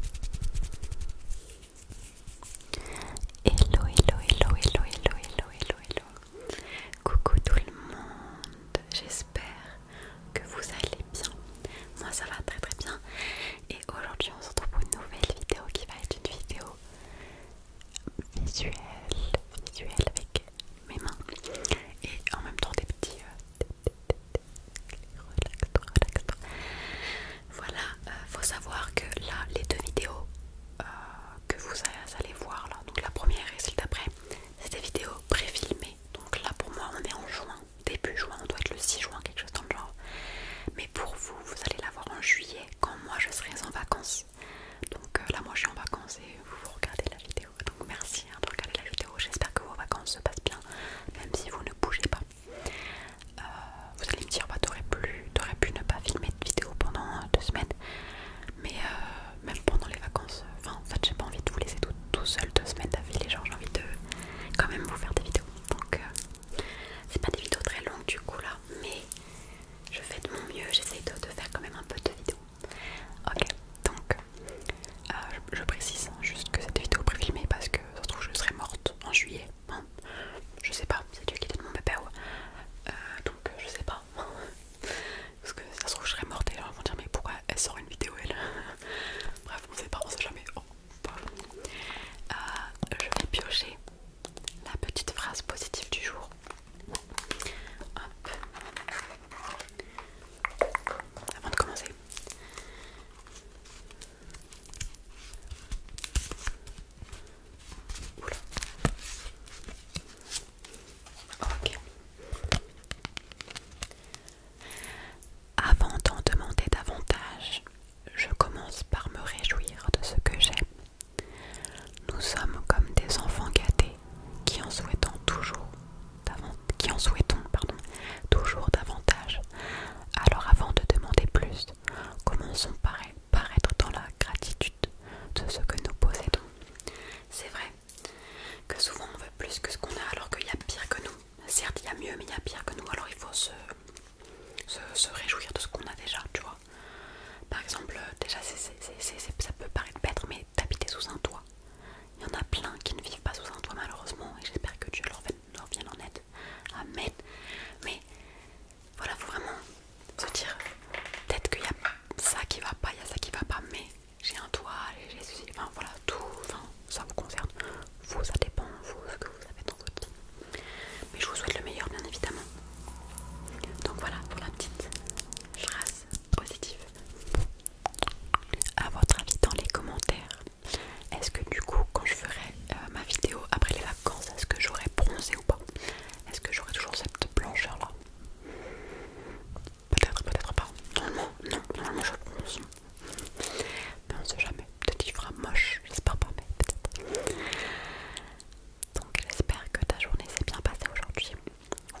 Hello, hello, hello, hello, hello, hello, hello, Coucou tout le monde, j'espère que vous allez bien. Moi ça va très très bien. Et aujourd'hui on se retrouve pour une nouvelle vidéo qui va être une vidéo visuelle, visuelle avec mes mains et en même temps des petits, euh, voilà, euh, faut savoir que là, les deux vidéos euh, que vous allez voir là, donc la première et celle d'après, c'est des vidéos pré-filmées Donc là, pour moi, on est en juin, début juin, on doit être le 6 juin, quelque chose dans le genre. Mais pour vous, vous allez la voir en juillet, quand moi je serai en vacances. Donc euh, là, moi je suis en vacances et vous, regardez la vidéo. Donc merci hein, de regarder la vidéo. J'espère que vos vacances se passent bien, même si vous ne bougez pas. Euh, vous allez me dire, bah, t'aurais pu ne pas filmer de vidéo pendant euh, deux semaines, mais euh, même pendant les vacances, enfin, en fait, j'ai pas envie de vous laisser tout, seul deux semaines d'affilée, gens, j'ai envie de quand même vous faire des vidéos. Donc, c'est pas des vidéos très longues du coup là, mais je fais de mon mieux, j'essaye de, faire quand même un peu de vidéos. Ok, donc je, précise hein, juste que cette vidéo est préfilmée parce que ça se trouve je serai morte en juillet je sais pas, c'est Dieu qui donne mon pépère euh, donc je sais pas parce que ça se trouve je serais morte et alors vont dire mais pourquoi elle sort une vidéo elle bref on sait pas, on sait jamais oh, euh, je vais piocher la petite phrase positive du jour Hop. avant de commencer avant d'en demander davantage, je commence par me réjouir de ce que j'aime. Nous sommes comme des enfants gâtés qui en souhaitons toujours davantage. Alors avant de demander plus, Commençons par être dans la gratitude de ce que nous possédons. C'est vrai que souvent on veut plus que ce qu'on a alors qu'il y a pire que nous. Certes, il y a mieux, mais il y a pire que nous, alors il faut se, réjouir de ce qu'on a déjà, tu vois. Par exemple, euh, déjà, ça peut paraître bête, mais d'habiter sous un toit. Il y en a plein qui ne vivent pas sous un toit, malheureusement, et j'espère que Dieu leur, leur vienne en aide. Amen. Mais voilà, faut vraiment se dire peut-être qu'il y a ça qui va pas, il y a ça qui va pas, mais j'ai un toit, j'ai ceci, enfin voilà, tout, ça vous concerne. Vous, ça dépend, vous, ce que vous avez dans votre vie. Mais je vous souhaite le meilleur, bien évidemment. Donc voilà pour la petite phrase positive. À votre avis dans les commentaires. Est-ce que du coup quand je ferai euh, ma vidéo après les vacances, est-ce que j'aurai bronzé ou pas Est-ce que j'aurai toujours cette blancheur là Peut-être, peut-être pas. Normalement, non, normalement je bronze. Mais on sait jamais. Peut-être qu'il fera moche, j'espère pas, mais peut-être. Donc j'espère que ta journée s'est bien passée aujourd'hui.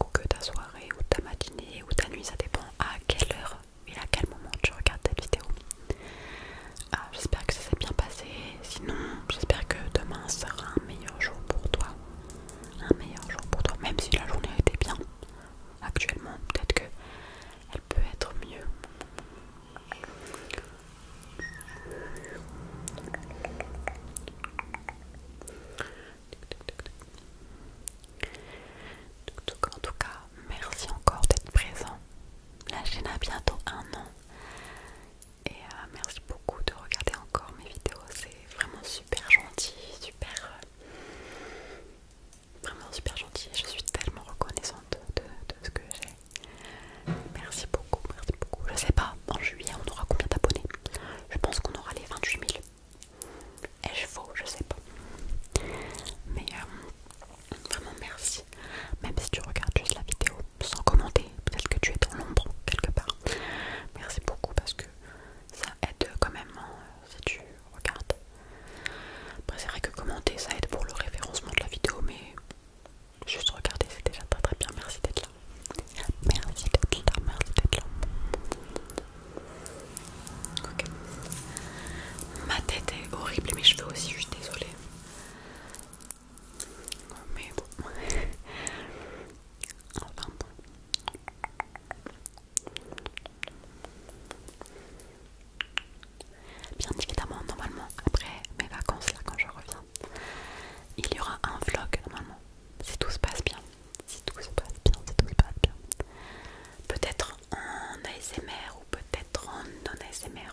Ou que ta soirée, ou ta matinée, ou ta nuit, ça dépend à quelle heure et à quel moment tu regardes cette vidéo. Ah, j'espère que ça s'est bien passé. Sinon, j'espère que demain sera un meilleur jour pour toi. Un meilleur jour pour toi, même si la journée était bien. Actuellement, peut-être qu'elle peut être mieux. En tout cas, merci encore d'être présent. La chaîne a bientôt un an. Et euh, merci beaucoup de regarder encore mes vidéos. C'est vraiment super gentil, super... Euh, vraiment super gentil. Je suis tellement reconnaissante de, ce que j'ai. Merci beaucoup, merci beaucoup. Je sais pas, en juillet on aura combien d'abonnés Je pense qu'on aura les 28 000. Et je faux, je sais pas. Mais euh, Vraiment merci. Même si tu regardes juste la vidéo sans commenter, peut-être que tu es dans l'ombre quelque part. Merci beaucoup parce que ça aide quand même hein, si tu regardes. Après c'est vrai que commenter ça aide pour le référencement de la vidéo mais juste regarder c'est déjà très très bien. Merci d'être là. Merci d'être là, merci d'être là. Ok. Ma tête est horrible mais mes cheveux aussi, je suis désolée. Mais bon. Oh, bien évidemment, normalement, après mes vacances, là, quand je reviens, il y aura un vlog, normalement. Si tout se passe bien. Si tout se passe bien, si tout se passe bien. Peut-être en ASMR ou peut-être en non-ASMR.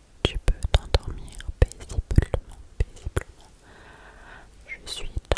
Tu peux t'endormir paisiblement, paisiblement. Je suis top.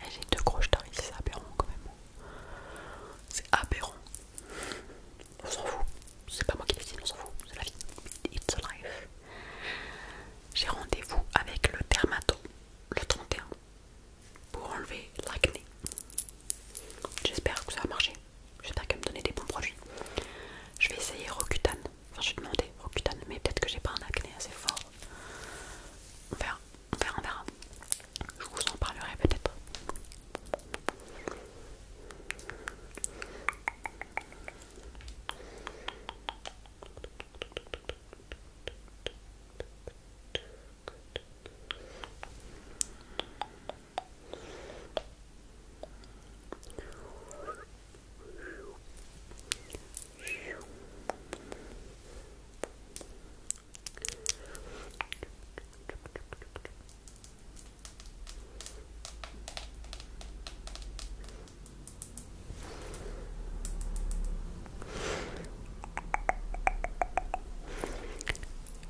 Eh, j'ai deux gros ici, c'est aberrant quand même. C'est aberrant. On s'en fout. C'est pas moi qui décide, on s'en fout. C'est la vie. It's life. J'ai rendez-vous avec le dermato le 31 pour enlever l'acné. J'espère que ça va marcher. J'espère qu'elle me donner des bons produits. Je vais essayer Rocutan Enfin, je lui ai demandé, putain, mais peut-être que j'ai pas un acné assez fort. On verra, on verra, on verra. Je vous en parlerai peut-être.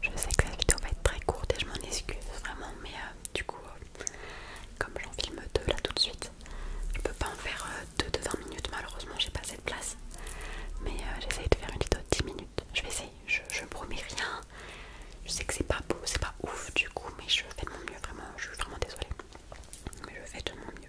Je sais que la vidéo va être très courte et je m'en excuse vraiment, mais euh, du coup, euh, comme j'en filme deux là tout de suite, je peux pas en faire 2 euh, deux de 20 minutes, malheureusement j'ai pas cette place. Mais j'essaie euh, j'essaye de faire une vidéo de 10 minutes. Je vais essayer, je, je promets rien. Je sais que c'est pas beau, c'est pas ouf du coup, mais je fais de mon mieux, vraiment, je suis vraiment désolée. Mais je fais de mon mieux.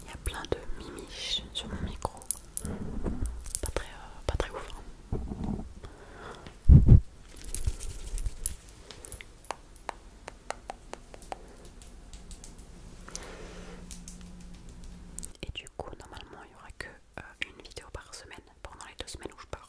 Il y a plein de mimiches sur mon micro. Pas très, euh, pas très ouf. Hein. Et du coup, normalement, il n'y aura qu'une euh, vidéo par semaine pendant les deux semaines où je pars.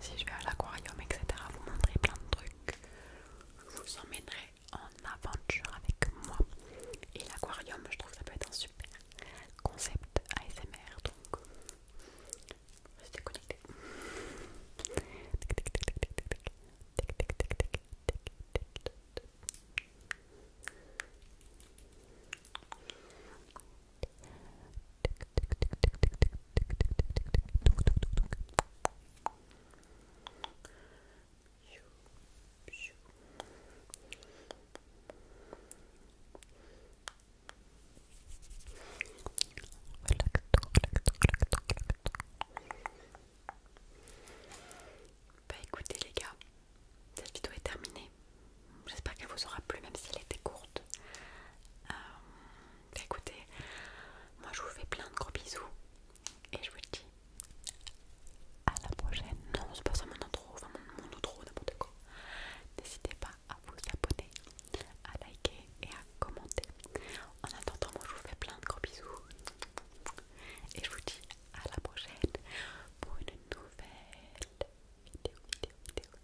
si je vais à l'aquarium, etc. Vous montrer plein de trucs. Je vous emmènerai en aventure avec moi. Et l'aquarium, je trouve ça peut être un super concept ASMR. Donc, restez connectés. Bah écoutez les gars, cette vidéo est terminée. J'espère qu'elle vous aura plu, même si elle était courte. Euh, bah écoutez, moi je vous fais plein de gros bisous et je vous dis à la prochaine. Non, c'est pas ça mon intro, enfin mon, outro, de quoi. N'hésitez pas à vous abonner, à liker et à commenter. En attendant, moi je vous fais plein de gros bisous et je vous dis à la prochaine pour une nouvelle vidéo, vidéo, vidéo.